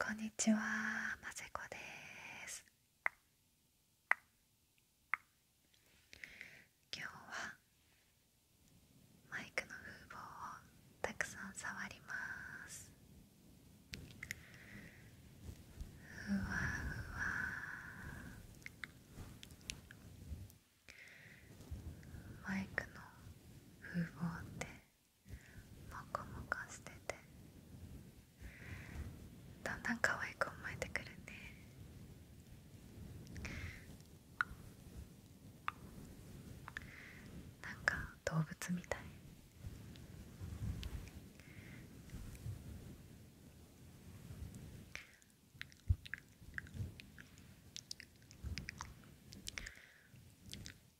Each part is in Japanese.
こんにちは、ませこです。今日はマイクの風貌をたくさん触ります。ふわふわ。マイクの風貌ってもこもこしててだんだん可愛く思えてくるねなんか動物みたい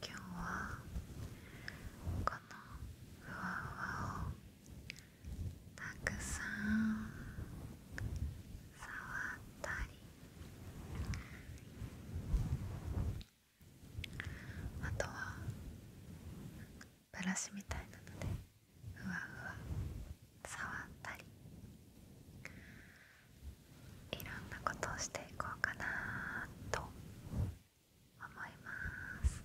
今日はこのふわふわをたくさん触ったりあとはブラシみたいなのでふわふわ触ったりいろんなことをしていこうかなと思います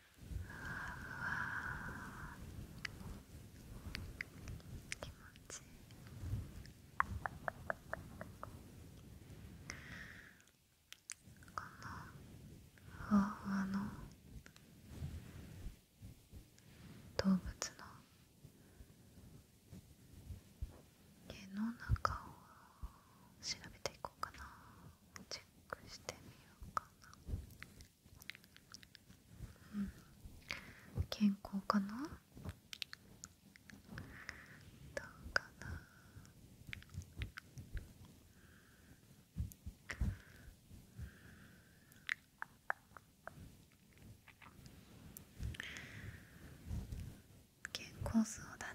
気持ちいいかな。ふわふわの動物の毛の中を調べていこうかなチェックしてみようかなうん健康かなどうかな健康そうだね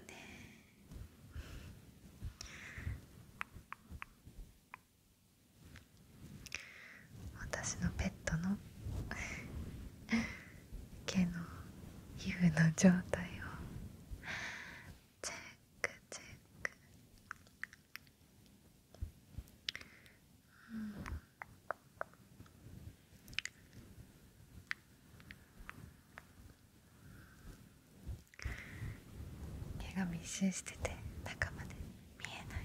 私のペットの 毛の皮膚の状態をチェックチェック、うん、毛が密集してて中まで見えない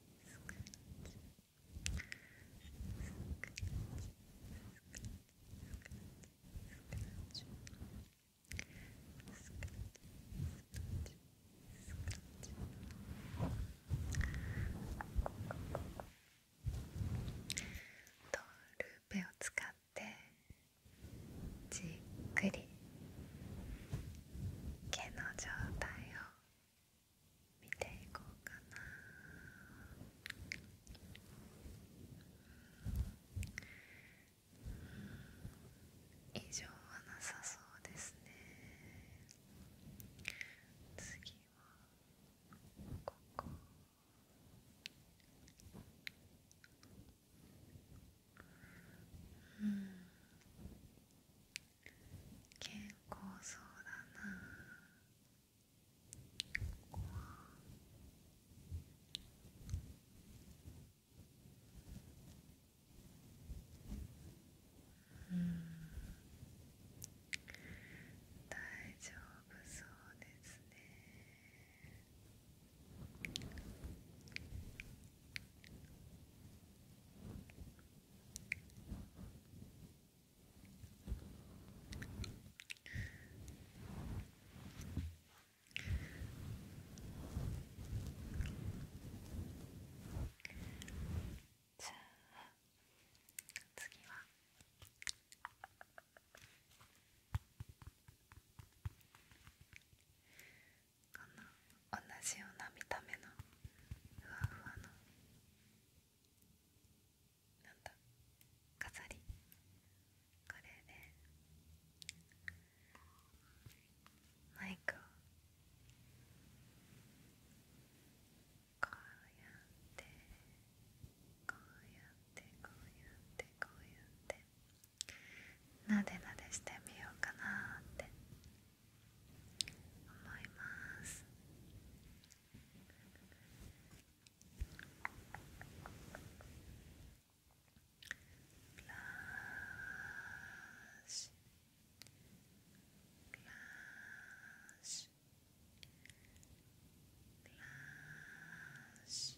とルーペを使ってじっくり毛の状態を見ていこうかな以上はなさそうですね次はここ。うん健康そうだなうん大丈夫そうですねじゃあ次はこの同じような見た目のふわふわの飾りこれでマイクをこうやってこうやってこうやってこうやって。なでなでしてみようかなって思いますブラシブラシブラシブラシ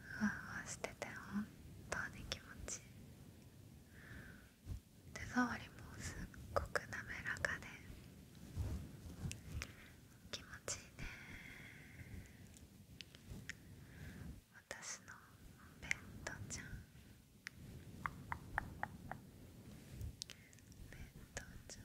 ふわふわしてて本当に気持ちいい手触りもすっごく滑らかで気持ちいいね私のお弁当ちゃん弁当ちゃん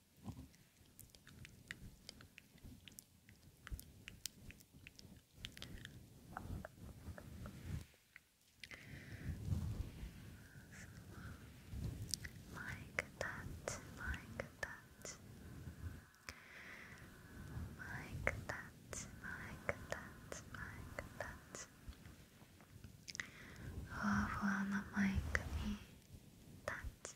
Mic touch, mic touch, mic touch, mic touch, mic touch. ふわふわなマイクにタッチ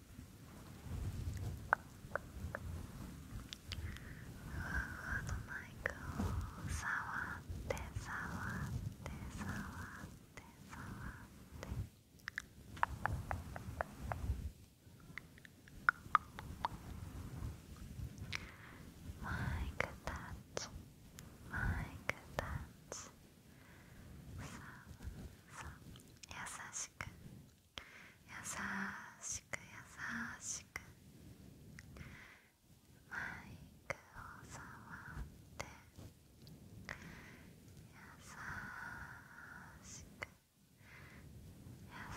ふわふわのマイクを触って触って触って触ってマイクタッチマイクタッチささ優しく優しく優しくマイクを触って優しく優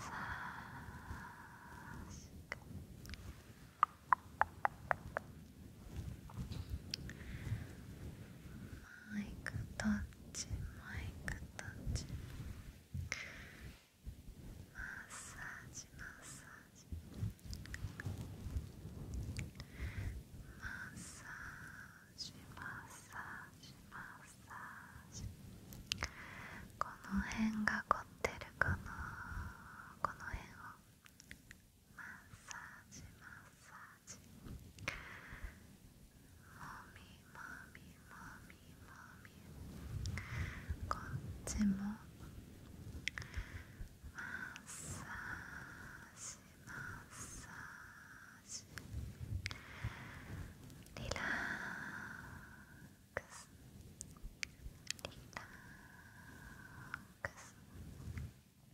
しくマイクタッチマイクッマッサージマッサージマッサージマッサージマッサージこの辺が凝ってるかなこの辺をマッサージマッサもみもみもみもみこっちもマッサージマッサージリラックスリラックス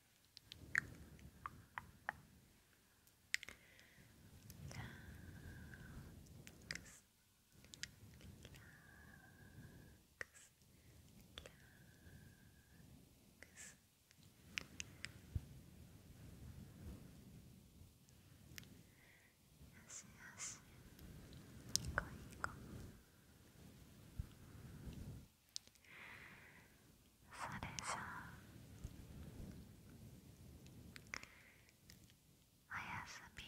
よしよし行こうこそれじゃあおやすみ